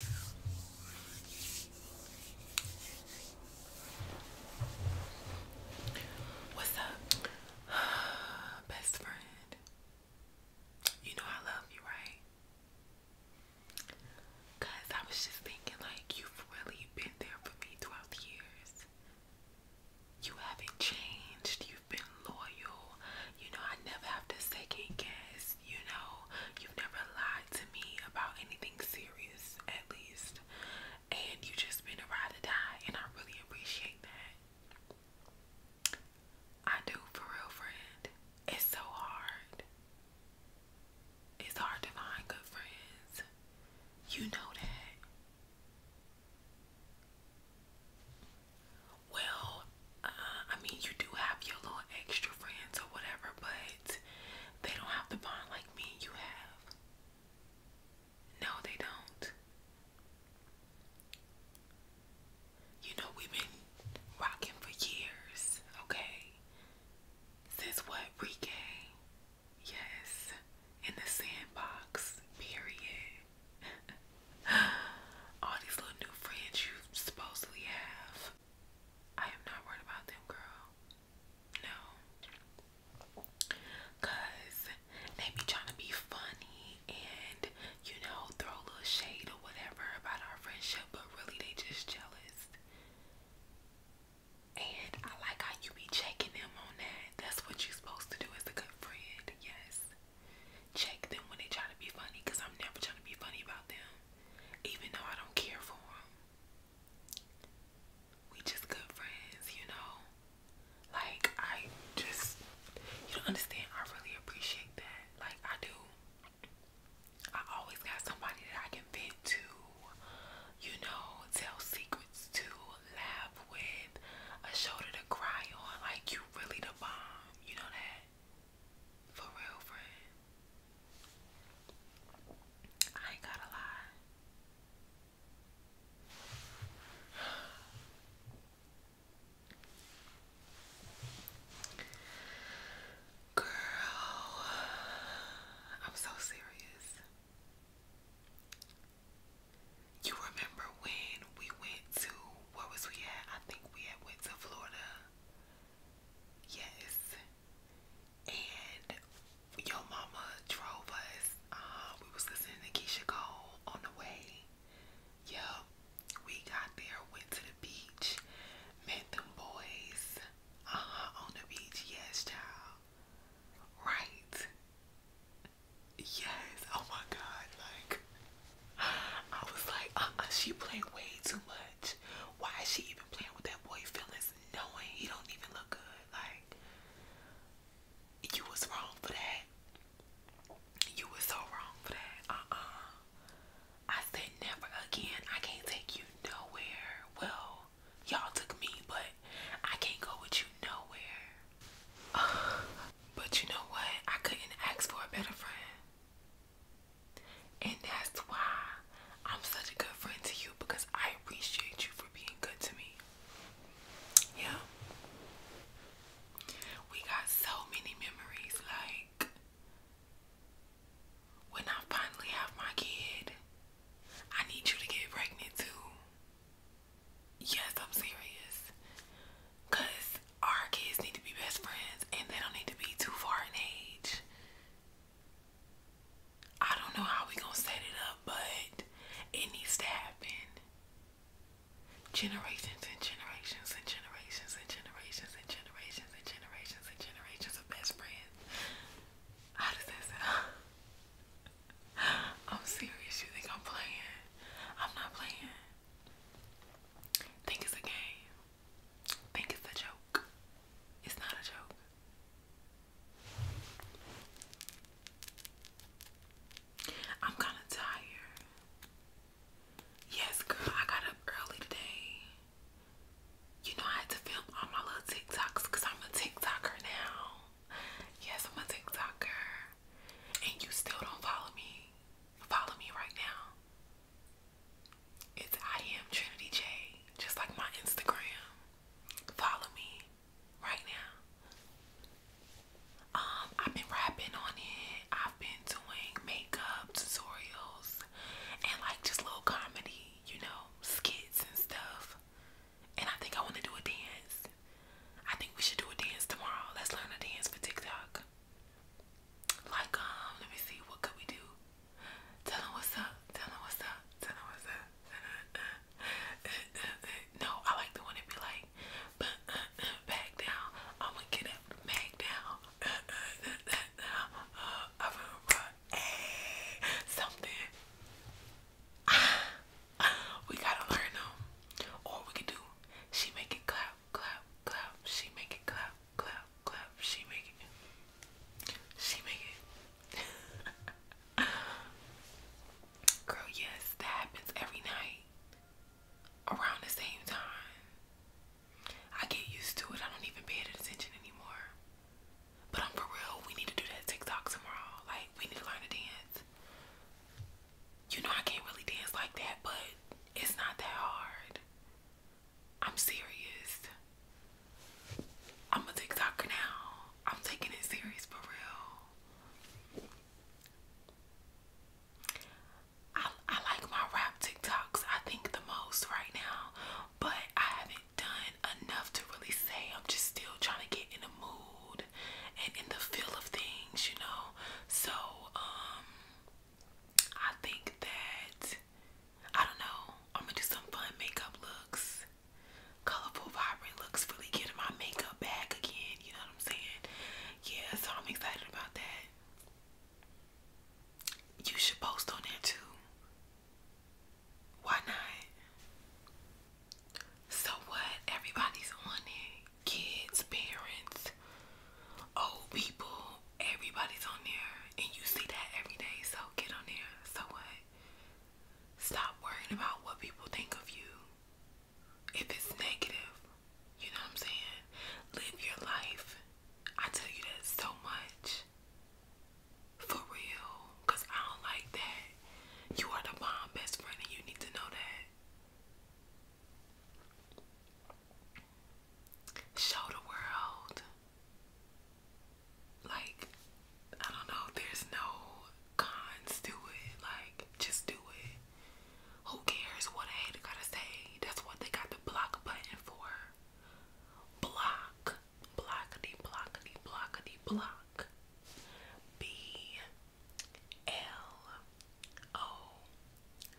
What's up, best friend? You know I love you, right? Cause I was just thinking, like, you've really been there for me throughout the years. You haven't changed. You've been loyal. You know I never have to second guess you know, you've never lied to me about anything serious, at least. And you've just been a ride or die, and I really appreciate that. I do, for real, friend. It's so hard. It's hard to find good friends. You know that. Well, I mean, you do have your little extra friends or whatever, but they don't have the bond like me you have. No, they don't. You know, we've been rocking for years, okay? Since what? Reggae? Yes. In the sandbox, period. All these little new friends you supposedly have. I am not worried about them, girl. No. Cause they be trying to be funny and, you know, throw a little shade or whatever about our friendship, but really they just jealous. And I like how you be checking them on that. That's what you're supposed to do as a good friend, yes. Check them when they try to be funny, because I'm never trying to be funny about them even though I don't care for him. We just good friends, you know. Like I just you don't understand, I really appreciate that. Like I do. I always got somebody that I can vent to, you know, tell secrets to, laugh with, a shoulder to cry on. Like you really the bomb, you know that? For real, friend. I ain't gotta lie. Girl, I'm so serious. You remember when we went to where was we at? I think we had went to Florida Yes. And your mama drove us. Uh, we was listening to Keisha Cole on the way. Yep. We got there, went to the beach, met them boys. Uh-huh, on the beach. Yes, child. Right. Yes. Oh my God. Like, I was like, uh-uh, she played way too much. Why is she even playing with that boy feelings knowing he don't even look good? Like, you was wrong for that. You was so wrong for that. Uh-uh. I said never again. I can't take you nowhere. Well, y'all took me, but I can't go with you nowhere. but you know what? I couldn't ask for a better friend. And that's why I'm such a good friend to you because I appreciate you for being good to me. Yeah. We got so many memories. Like, when I finally have my kid, I need you to get pregnant too. Yes, I'm serious. Because our kids need to be best friends and they don't need to be too far in age. I don't know how we gonna set it up, but it needs to happen. Generations and generations and generations and generations and generations and generations and generations of best friends. How does that sound? I'm serious. You think I'm playing? I'm not playing. Think it's a game. Think it's a joke. It's not a joke. I'm kind of tired. Yes, girl, I got up early today. You know, I had to film all my little TikToks I'm a TikToker now. Yes, I'm a TikToker. And you still don't follow me. Follow me right now. It's I am Trinity J, just like my Instagram. Follow me right now. Um, I've been rapping on it. I've been doing makeup tutorials and like just little comedy, you know, skits and stuff. And I think I want to do a dance. I think we should do a dance tomorrow. Let's learn a dance for TikTok like um let me see what could we do tell him what's up tell him what's up tell him what's up no i like the one that be like uh, uh, back down i'm gonna get up back down uh, i'm gonna run hey, eh, something we gotta learn them um, or we can do she make it clap clap, clap, clap. She make it clap, clap, clap. She make it. She make it. Girl, yes, that happens every night around the same time. I get used to it. I don't even pay it attention anymore. But I'm for real. We need to do that TikTok tomorrow. Like, we need to learn to dance. You know, I can't really dance like that, but it's not that hard. I'm serious. I'm a TikToker now. I'm taking it serious for real. I, I like my rap TikToks, I think, the most right now, but I haven't done enough to really say. I'm just still trying to get in a mood and in the feel of things, you know. So, um, I think that I don't know. I'm gonna do some fun makeup looks. Colorful, vibrant looks really getting my makeup back again. You know what I'm saying? Yeah, so I'm excited about that. You should post on there too. Why not? So what? Everybody's on it. Kids, parents, Old people, everybody's on there, and you see that every day. So get on there. So what? Stop worrying about what people think of you. If it's negative, you know what I'm saying? Live your life. I tell you that so much. For real. I don't like that. You are the bomb best friend and you need to know that show the world. Like, I don't know, there's no cons to it. Like, just do it. Who cares what a hater gotta say? That's what they got the block button for. Block. Blockity, blockity, blockity, block. B L O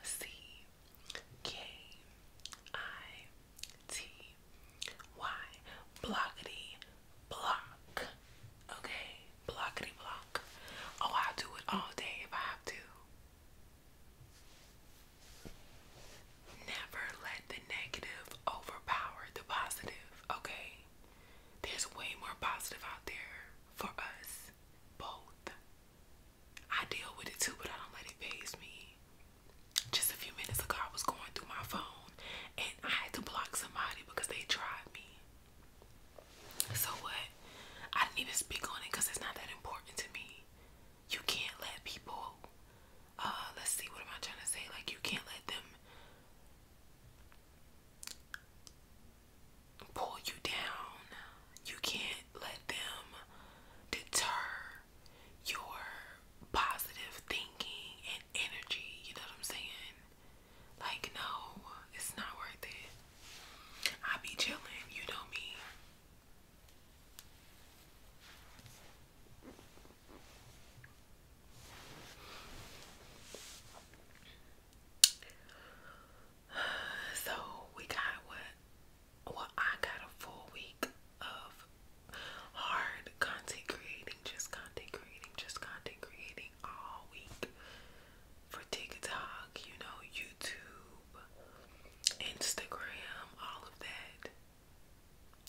C K I T Y blockity block. Okay, blockity block. Oh, I'll do it all day if I have to. Never let the negative overpower the positive, okay? There's way more positive out there for us both. I deal with it too, but I don't let it phase me. Just a few minutes ago, I was going through my phone and I had to block somebody because they tried me. So, what? I didn't even speak on it because it's not that important to me. You can't let people, uh, let's see, what am I trying to say? Like, you can't let them pull you down you can't let them deter your positive thinking and energy. You know what I'm saying? Like, no, it's not worth it. I be chilling, you know me. so we got what well I got a full week of hard content creating, just content creating, just content creating all week for TikTok, you know, YouTube, Instagram, all of that.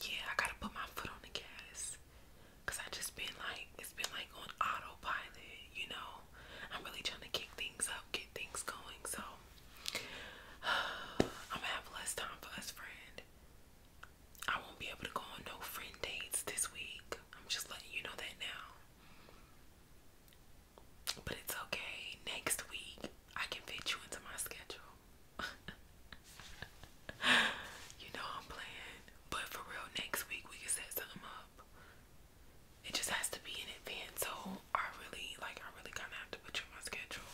Yeah, I gotta put my foot on the gas. Cause I just been like it's been like on autopilot, you know. I'm really trying to kick things up, get things going, so I'm gonna have less time for us, friend. I won't be able to go on no friend dates this week. I'm just letting you know that now. But it's okay. Next week, I can fit you into my schedule. you know I'm playing. But for real, next week we can set something up it just has to be in advance. So I really like I really kinda have to put you on my schedule.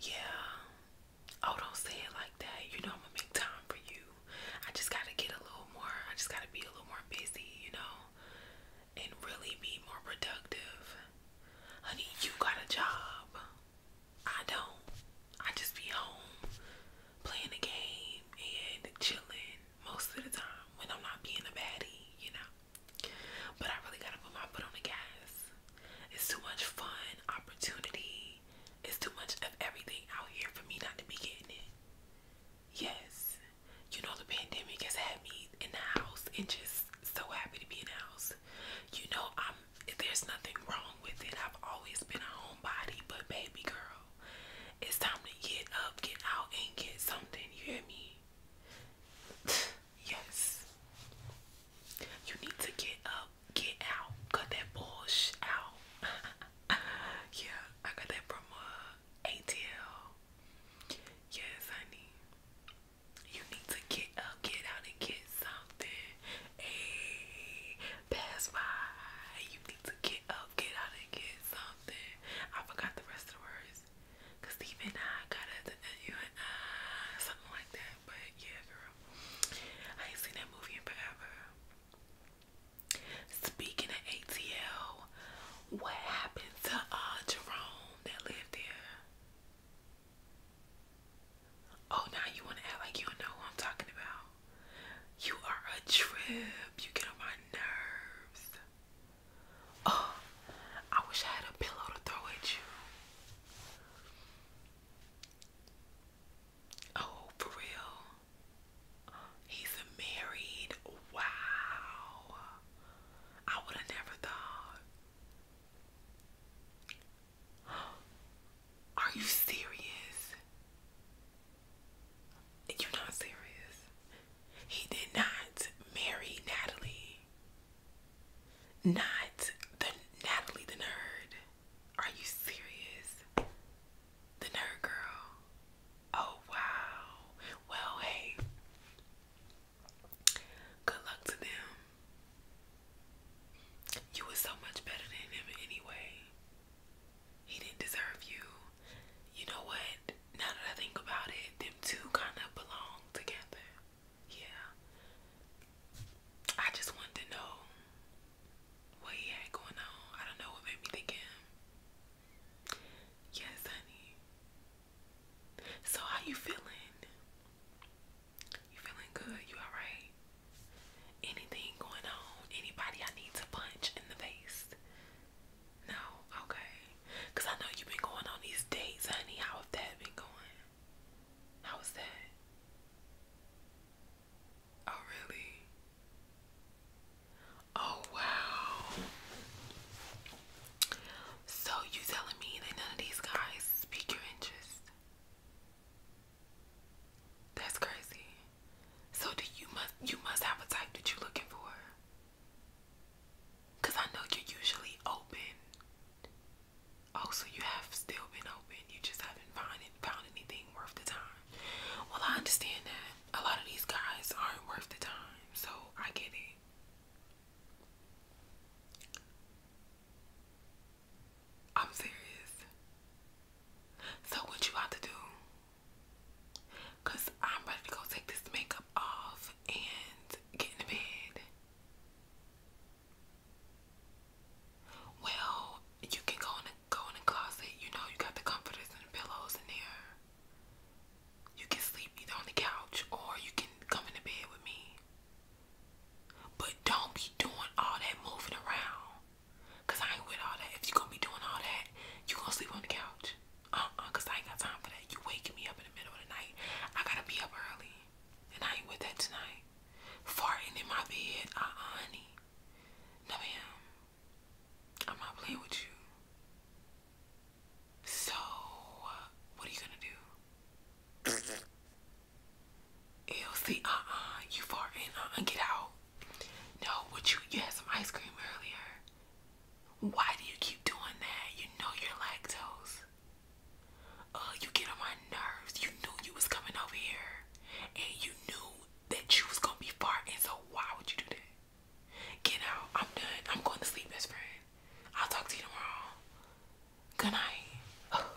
Yeah. Oh, don't say it like that. You know I'm gonna make time for you. I just gotta get a little more I just gotta be a little more busy, you know, and really be more productive. Honey, you got a job. I don't. I just be home playing a game and chilling most of the time when I'm not being a baddie, you know. But I really gotta put my foot on the gas. It's too much fun, opportunity. It's too much of everything out here for me not to be getting it. Yes, you know the pandemic has had me in the house and just so happy to be in the house. You know I'm um, there's nothing wrong with it. I've always been a homebody, but baby girl, it's time to get up, get out, and get something. You hear me? yes. You need to get up, get out, cut that bullshit out. yeah, I got that from uh, ATL. Yes, honey. You need to get up, get out, and get something. Hey, pass by. You need to get up, get out, and get something. I forgot the rest of the words. Cause Steve and I got something like that. But yeah, girl, I ain't seen that movie in forever. Speaking of ATL, what happened to uh Jerome that lived there? Oh, now you want to act like you don't know who I'm talking about. You are a trip. You get on my nerves. Oh, I wish I had a pillow to throw at you. Oh, for real? He's married. Wow. I would have never thought. Are you serious? You're not serious. He did not marry Natalie. Not the Natalie the nerd. Are you serious? The nerd girl. Oh wow. Well, hey. Good luck to them. You were so much better than him anyway. He didn't deserve you. You know what? Now that I think about it, them two kind of belong together. Yeah. I just wanted to know what he had going on. I don't know what made me think him. Yes, honey. So how you feeling? You feeling good? You alright? Anything going on? Anybody I need to punch in the face? No? Okay. Because I know you've been going on these dates, honey. How have that been going? How's that? Oh, really? Oh, wow. So, you telling me that none of these guys speak your interest? That's crazy. So do you must you must have a type that you're looking for? Cause I know you're usually open. Oh, so you have still been open. You just haven't found found anything worth the time. Well, I understand that. A lot of these guys aren't worth the time, so I get it. I'm serious. So what you about to do? Cause I'm ready to go take this makeup off and get in bed. Well, you can go in the go in the closet. You know you got the comforters and the pillows in there. You can sleep either on the couch or you can come into bed with me. But don't be doing all that moving around. Cause I ain't with all that. If you gonna be doing all that, you gonna sleep on the couch. Uh-uh, I ain't got time for that. You waking me up in the middle of the night. I gotta be up early. And I ain't with that tonight. Farting in my bed. uh honey. No ma'am. I'm not playing with you. So, what are you gonna do? Ew, see, uh-uh, you farting, uh-uh, get out. No, would you, you had some ice cream earlier. Why do you keep doing that? You know you're lactose. Uh, you get on my nerves. You knew you was coming over here. And you knew that you was gonna be farting, so why would you do that? Get out, I'm done. I'm going to sleep, best friend. I'll talk to you tomorrow. Good night.